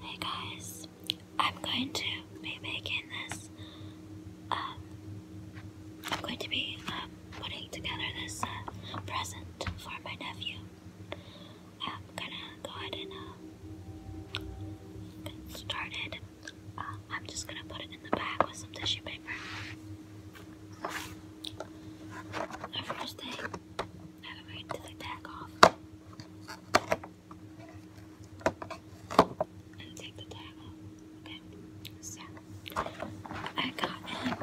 Hey guys, I'm going to be making this, um, I'm going to be um, putting together this uh, present for my nephew. I'm gonna go ahead and uh, get started. Uh, I'm just gonna put it in the bag with some tissue paper. first thing now we're going to take off. And take the tag off. Okay. So I got him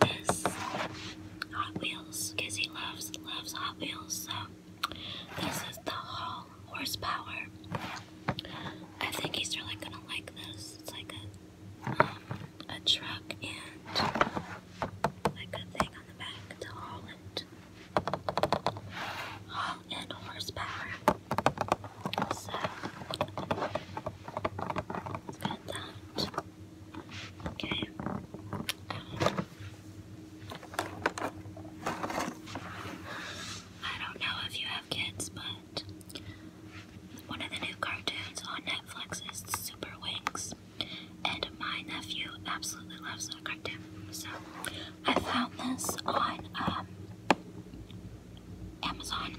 this Hot Wheels because he loves loves Hot Wheels. So this is the Hall horsepower. I think he's really gonna like this. It's like a um, a truck and like a thing on the back to haul it. Haul and horsepower. So let's get that. Okay. I don't know if you have kids, but one of the new cartoons on Netflix is Super Wings. And my nephew absolutely loves the cartoon. So I found this on um, Amazon.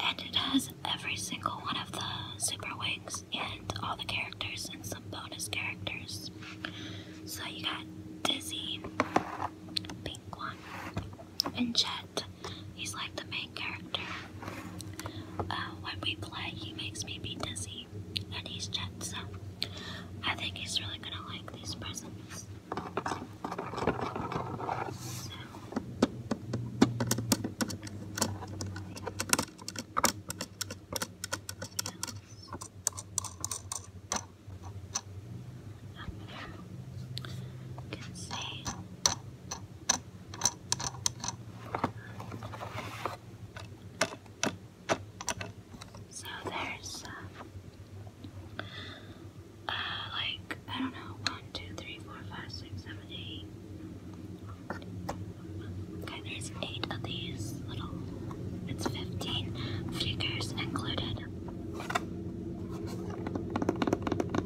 And it has every single one of the Super Wings and all the characters and some bonus characters. So you got Dizzy, Pink and Jet, He's like the main character. when we play, he makes me be dizzy, and he's jet, I think he's really gonna like these presents. So there's uh, uh, like I don't know one, two, three, four, five, six, seven, eight. Okay, there's eight of these little. It's fifteen figures included.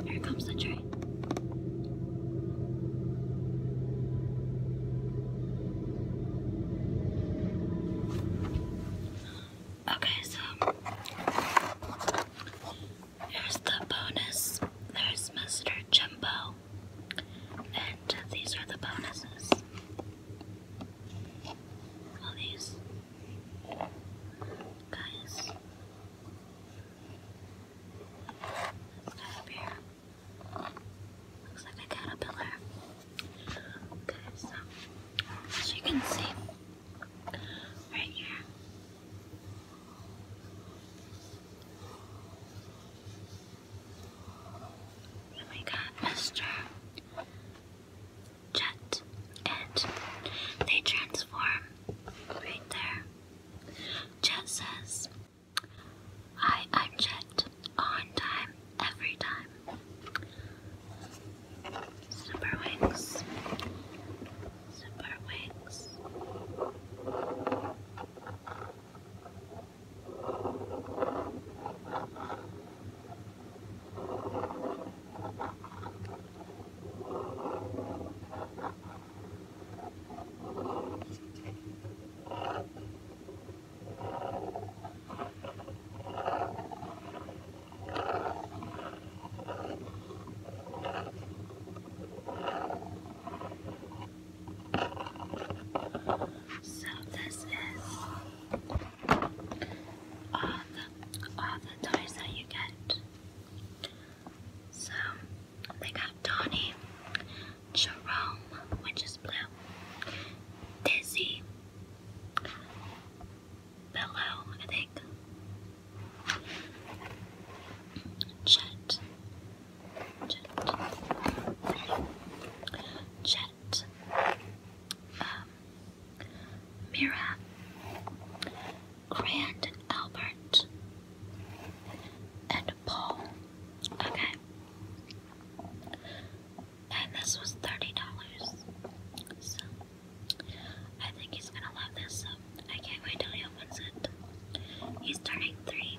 Here comes the tray me. Okay, so here's the bonus. There's Mr. Jumbo. And these are the bonuses. All these guys. Up here. Looks like a caterpillar. Okay, so as you can see, right here. And we got Mr. Jet, and they transform right there. Jet says, Hi, I'm Jet. On time, every time. Super wings. Super wings. So this is all the all the toys that you get. So they got Donny, Jerome, which is blue, Dizzy, Bellow, I think, Jet, Chet, um, Mira, Grand Albert, and Paul. Okay. And this was $30. So I think he's gonna love this. So I can't wait till he opens it. He's turning three.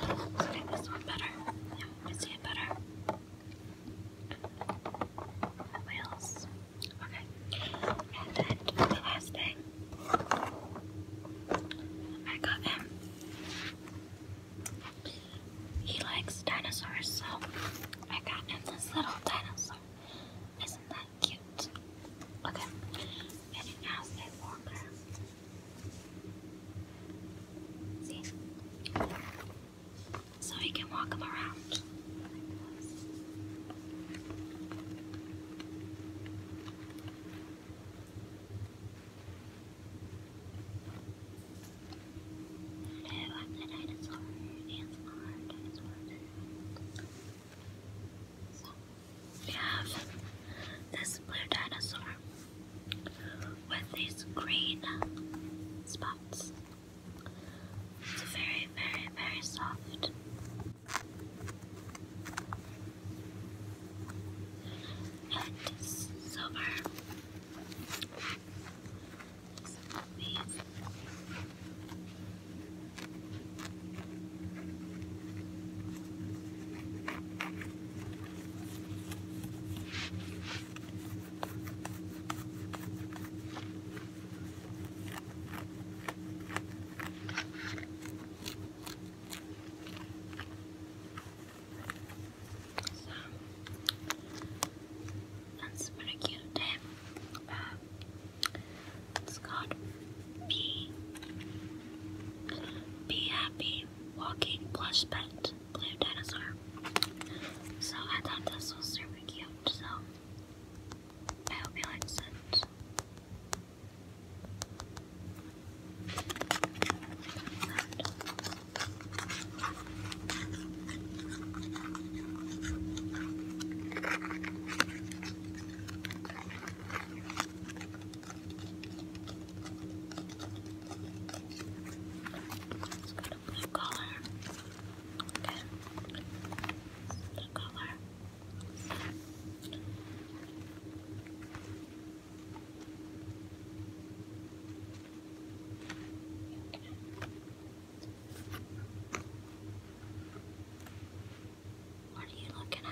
Okay, this one better. Yeah, I see it better. Wheels. Okay. And then the last thing I got him. He likes dinosaurs, so I got him this little dinosaur. Isn't that cute? Okay. And it has a See? so you can walk them around Hello, I'm the dinosaur. dinosaur. So we have this blue dinosaur with these green spots. It's very, very, very soft. And silver. So that's pretty cute. Uh, it's called Be Be Happy Walking Plush Pet blue dinosaur. So I thought this was super cute, so I hope you likes it. Let's go to blue color. Okay. Blue color. What are you looking at?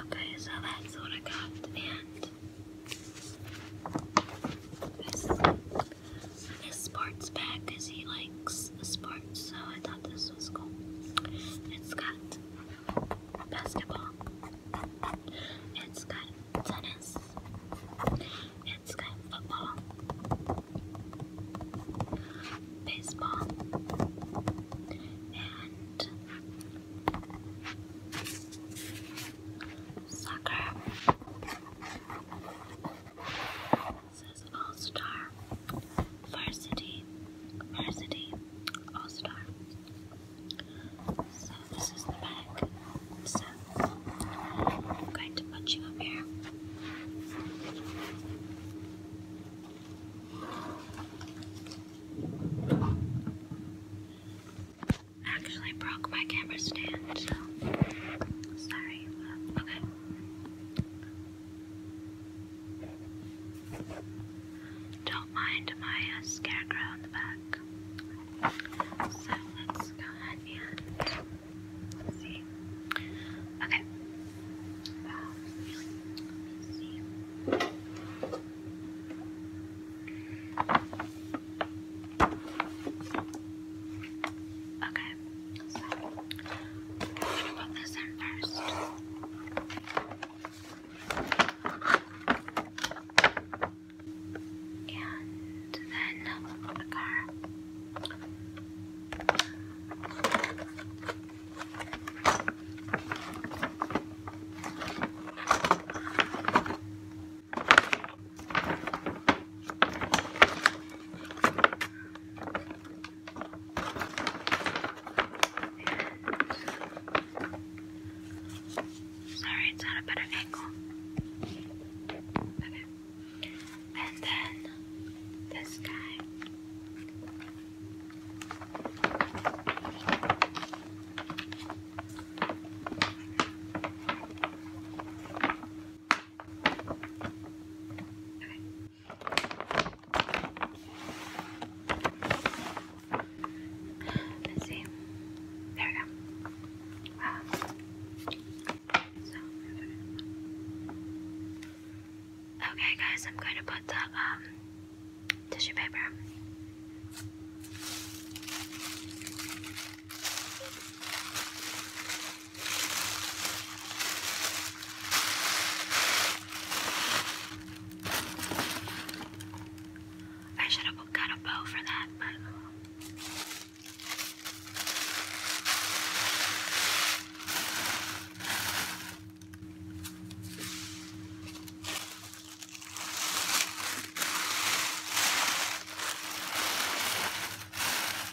Okay, so that's what I got, a sports bag because he likes sports, so I thought this was cool. It's got basketball, it's got tennis, it's got football, baseball, and soccer says All Star, Varsity, Varsity, All Star. So this is the bag. So I'm going to put you up here. actually broke my camera stand, so sorry. Okay. Don't mind my uh, scarecrow in the back. So let's go ahead and see. Okay. Um, okay, Okay, I'm gonna put this in first. Sorry, it's at a better angle. Okay. And then this guy. Okay. Let's see. There we go. okay, guys, I'm going to put the um, tissue paper. I should have got a bow for that, but.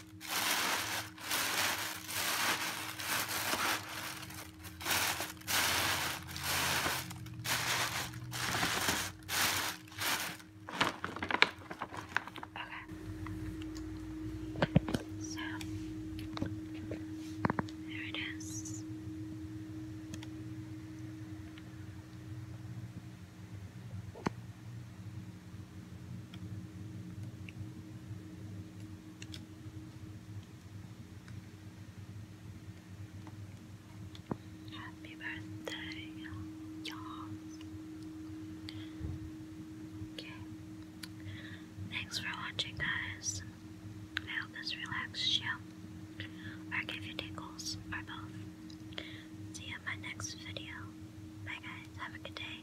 Okay. So there it is. Happy birthday, y'all. Okay. Thanks for watching, guys. I hope this relaxed you, or gave you tickles, or both. See you in my next video. Bye, guys. Have a good day.